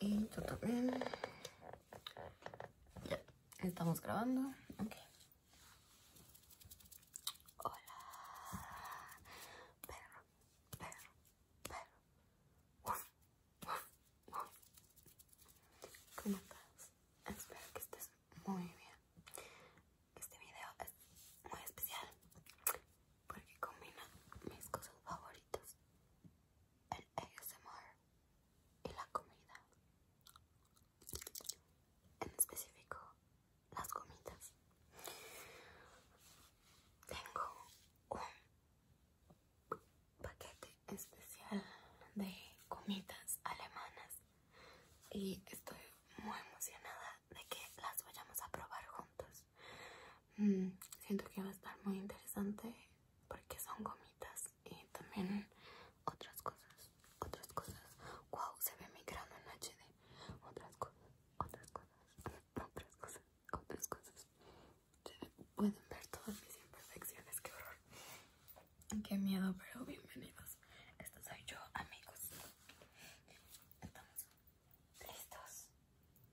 Y tú también. Ya, estamos grabando. Ok. Hola. Perro, perro, perro. uf. ¿Cómo estás? Espero que estés muy bien. Este video es muy especial porque combina mis cosas favoritas el ASMR y la comida, en específico las comidas. Tengo un paquete especial de comidas alemanas y estoy muy emocionada de que las vayamos a probar juntos. Mm, siento que va a estar muy interesante porque son gomitas y también otras cosas, otras cosas. Wow, se ve mi grano en HD. Otras cosas, otras cosas, otras cosas, otras cosas. pueden ver todas mis imperfecciones, qué horror. Qué miedo, pero bienvenidos. Esto soy yo, amigos. Estamos ¿Listos?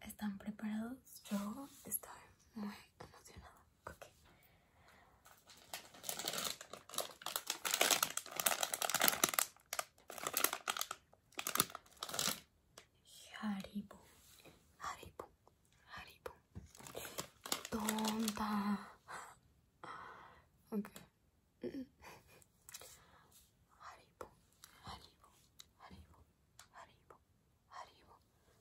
¿Están preparados? Yo estoy muy emocionada. Okay. Haribo. Haribo. Haribo. Tonta. Ok. Mm. Haribo. Haribo. Haribo. Haribo, Haribo, Haribo,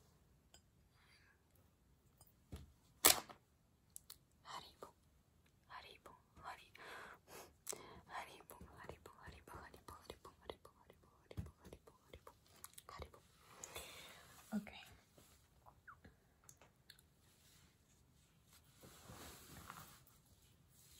Haribo, Haribo, Haribo, Haribo, Haribo, Haribo, Haribo, Haribo, Haribo, Haribo, Haribo, Haribo. Okay.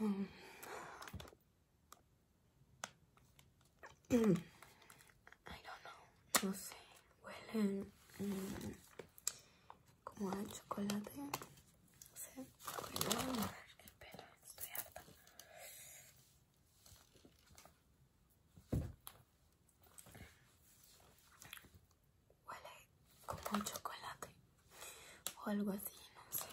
Um. I don't know, no sé, huelen mm, como al chocolate, no sé, voy el pelo, estoy harta. Huele como chocolate o algo así, no sé.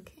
Okay.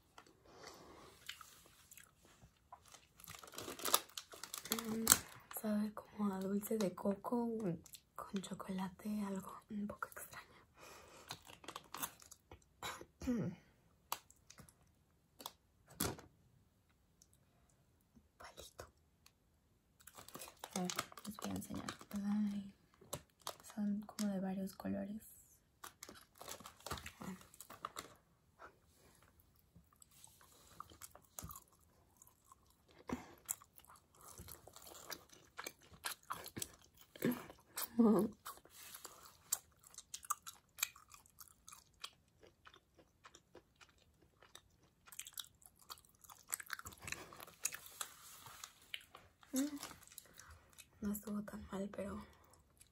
Mm, Sabe como a dulce de coco con chocolate, algo un poco extraño. Palito. les voy a enseñar son como de varios colores mm. No estuvo tan mal, pero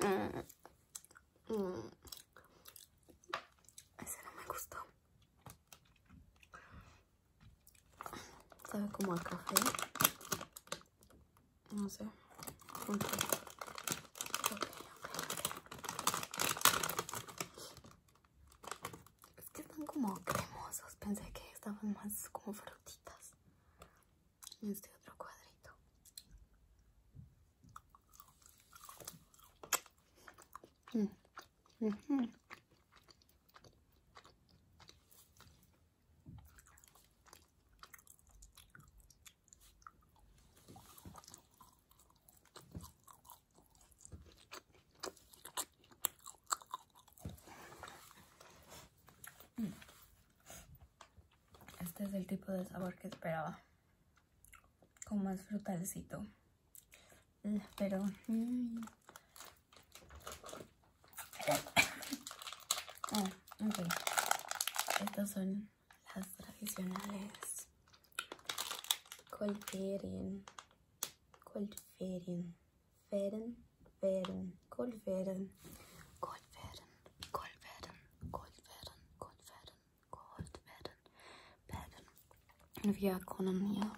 Mm. Mm. Ese no me gustó. Sabe como a café. No sé. Okay. es que están como cremosos. Pensé que estaban más como frutitos este otro cuadrito mm. Mm. Este es el tipo de sabor que esperaba. Con más frutalcito. Eh, pero... Mm. Ah, Estas son las tradicionales. Colferien. Colferien. werden, werden, Gold werden, Gold werden, Gold werden, Gold werden, Gold werden, Gold werden, werden. Wir können hier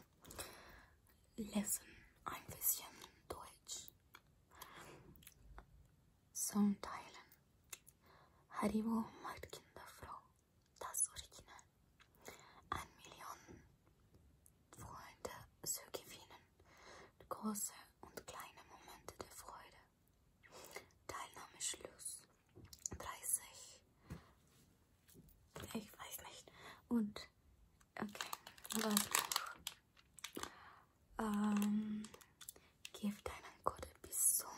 lesen ein bisschen Deutsch. Zum Teilen. Haribo macht Kinder froh. Das Original. Ein Million Freunde so gewinnen große und kleine Momente der Freude. Teilnahmeschluss 30. Ich weiß nicht. Und okay, was noch? Ähm, gib deinen Code bis zum.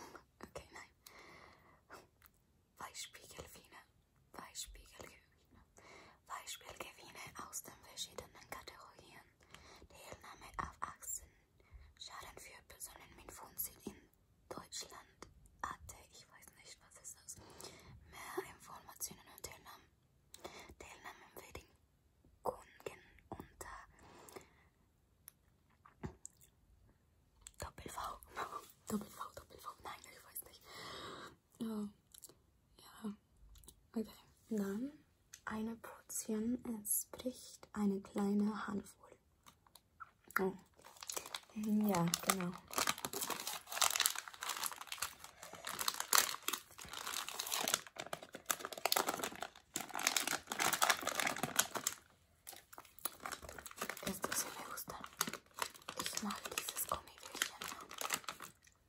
Okay, nein. Weißspiegelfine Beispielgewinne aus den verschiedenen Kategorien. Teilnahme auf Achsen. Schaden für Personen mit Wohnsitz in Deutschland. AT, ich weiß nicht, was ist das. Mehr Informationen und Teilnahmen. Teilnahmen Bedingungen unter Doppel-V. Doppel-V, Doppel-V, nein, ich weiß nicht. Oh. Ja. Okay. Dann eine Portion entspricht eine kleine Handvoll. Oh. Ja, genau. Esto se me gusta. Ich mag dieses Gummibärchen.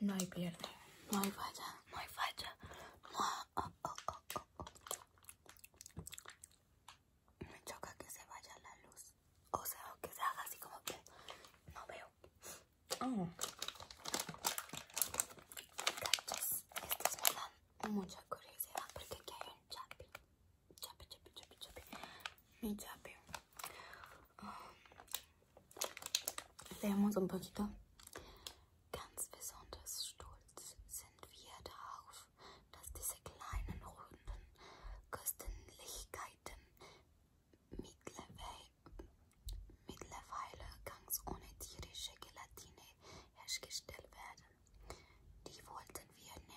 No hay pierde, no hay falla, no hay falla. Oh, oh, oh, me choca que se vaya la luz. O sea, que se haga así como que no veo. Oh. estos me dan mucha curiosidad porque aquí hay un chapi. Tappe, tappe, tappe, tappe. Mi tappe. Leemos un poquito. Ganz besonders stolz sind wir darauf, dass diese kleinen runden Köstlichkeiten mittlerweile ganz ohne tierische Gelatine hergestellt werden. Die wollten wir nicht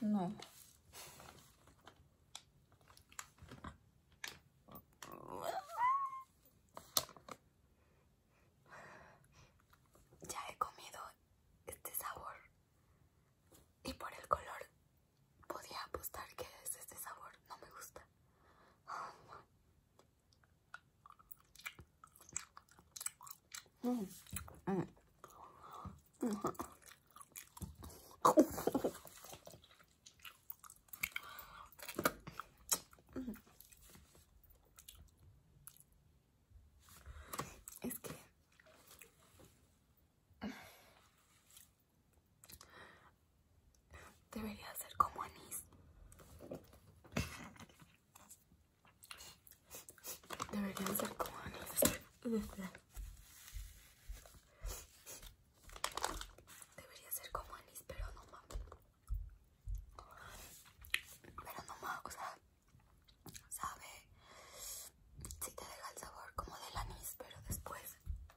no. Ya he comido este sabor y por el color Podía apostar que es este sabor, no me gusta. Es que Debería ser como anís. Debería ser como anís. Debería ser como anís, pero no más. Pero no más, o sea, sabe, si te deja el sabor como del anís, pero después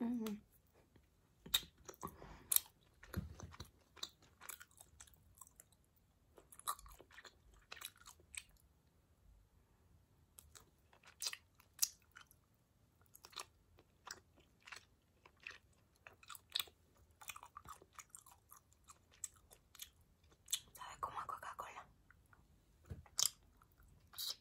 Uh -huh. ¿Sabe cómo a Coca-Cola?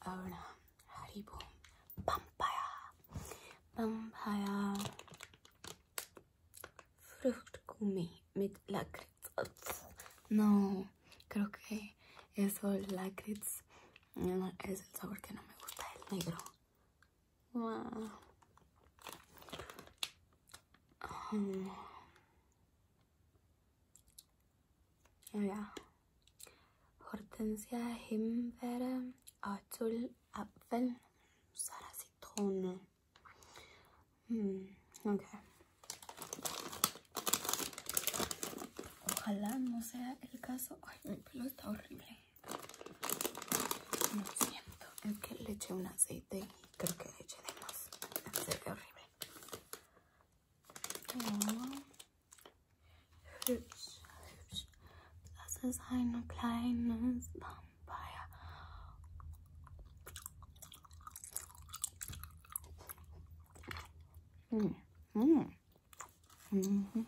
Ahora, Haribo pampaya, Fruit Gumi mit No, creo que eso, Lakritz, es el sabor que no me gusta, el negro. Ya, Hortensia, Himbeere, Azul, Apfel, Sara, mm, Ojalá no sea el caso. Ay, mi pelo está horrible. No siento. Es que le eché un aceite y creo que le eché de más. horrible. Ja. Hübsch, hübsch. Das ist ein kleines Vampire. Hm. Hm. Hm, hm,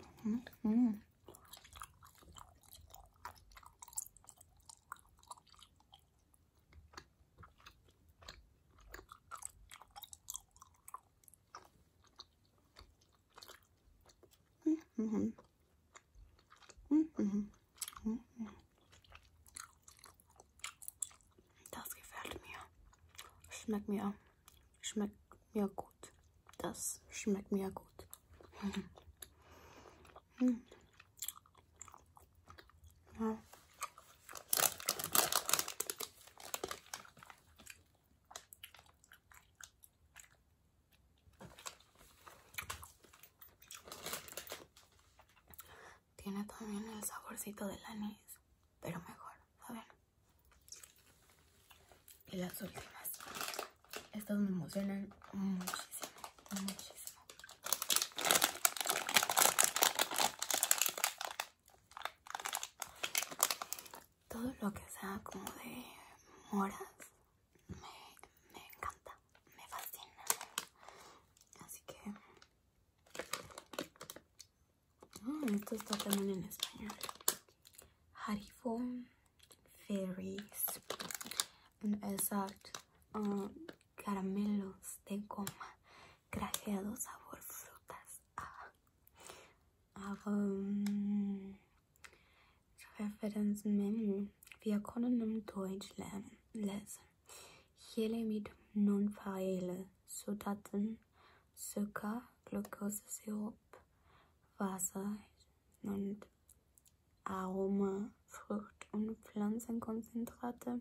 hm, das gefällt mir. Schmeckt mir. Schmeckt mir gut. Das schmeckt mir gut. Tiene también el saborcito la anís, pero mejor, ver, Y las últimas. Estas me emocionan muchísimo, muchísimo. Todo lo que sea como de moras me, encanta, me fascina. Así que... Mm, esto está también en español. Harifo Fairies. Exacto. Um, caramelos de goma grajeado sabor frutas. Ah. Aber ah, um, Referenzmenü. Wir können Deutsch lernen, lesen. Jele mit non feile Zutaten, Zucker, Glukosesirup, Wasser und Aroma, Frucht- und Pflanzenkonzentrate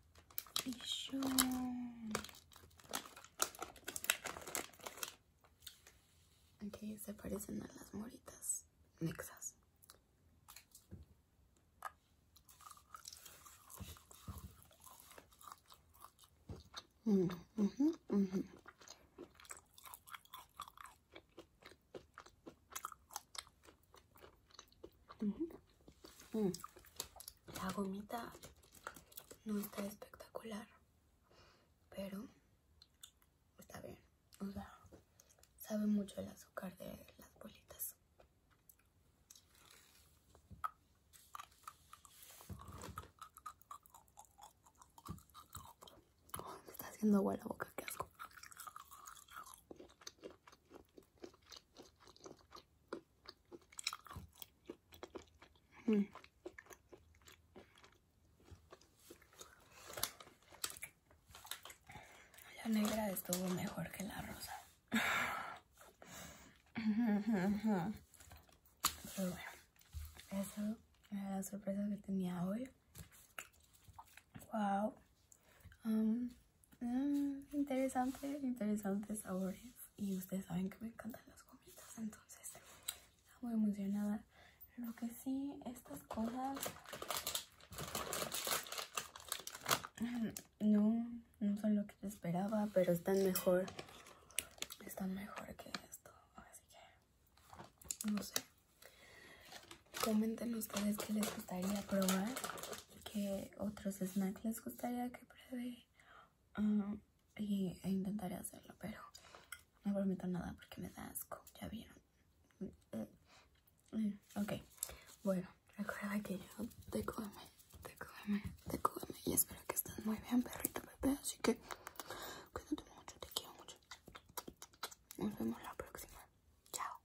y yo que se parecen a las moritas mexas mm, mhm, mhm. Mm. La gomita no está espectacular, pero está bien. O sea, sabe mucho el azúcar de las bolitas. Oh, está haciendo buena la boca, qué asco. La negra estuvo mejor que la rosa. Pero bueno, eso era la sorpresa que tenía hoy. Wow. Ah, interesantes, interesantes sabores. Y ustedes saben que me encantan las gomitas, entonces Estoy muy emocionada. Lo que sí, estas cosas no, no son lo que esperaba, pero están mejor. Están mejor que esto. Así que, no sé. Comenten ustedes qué les gustaría probar. Que otros snacks les gustaría que pruebe ah, y, e intentaré hacerlo, pero no prometo nada porque me da asco, ya vieron. Mm, eh, ok, bueno, recuerda que yo te come, te come, y espero que estés muy bien, perrito bebé, así que cuídate mucho, te quiero mucho. Nos vemos la próxima. Chao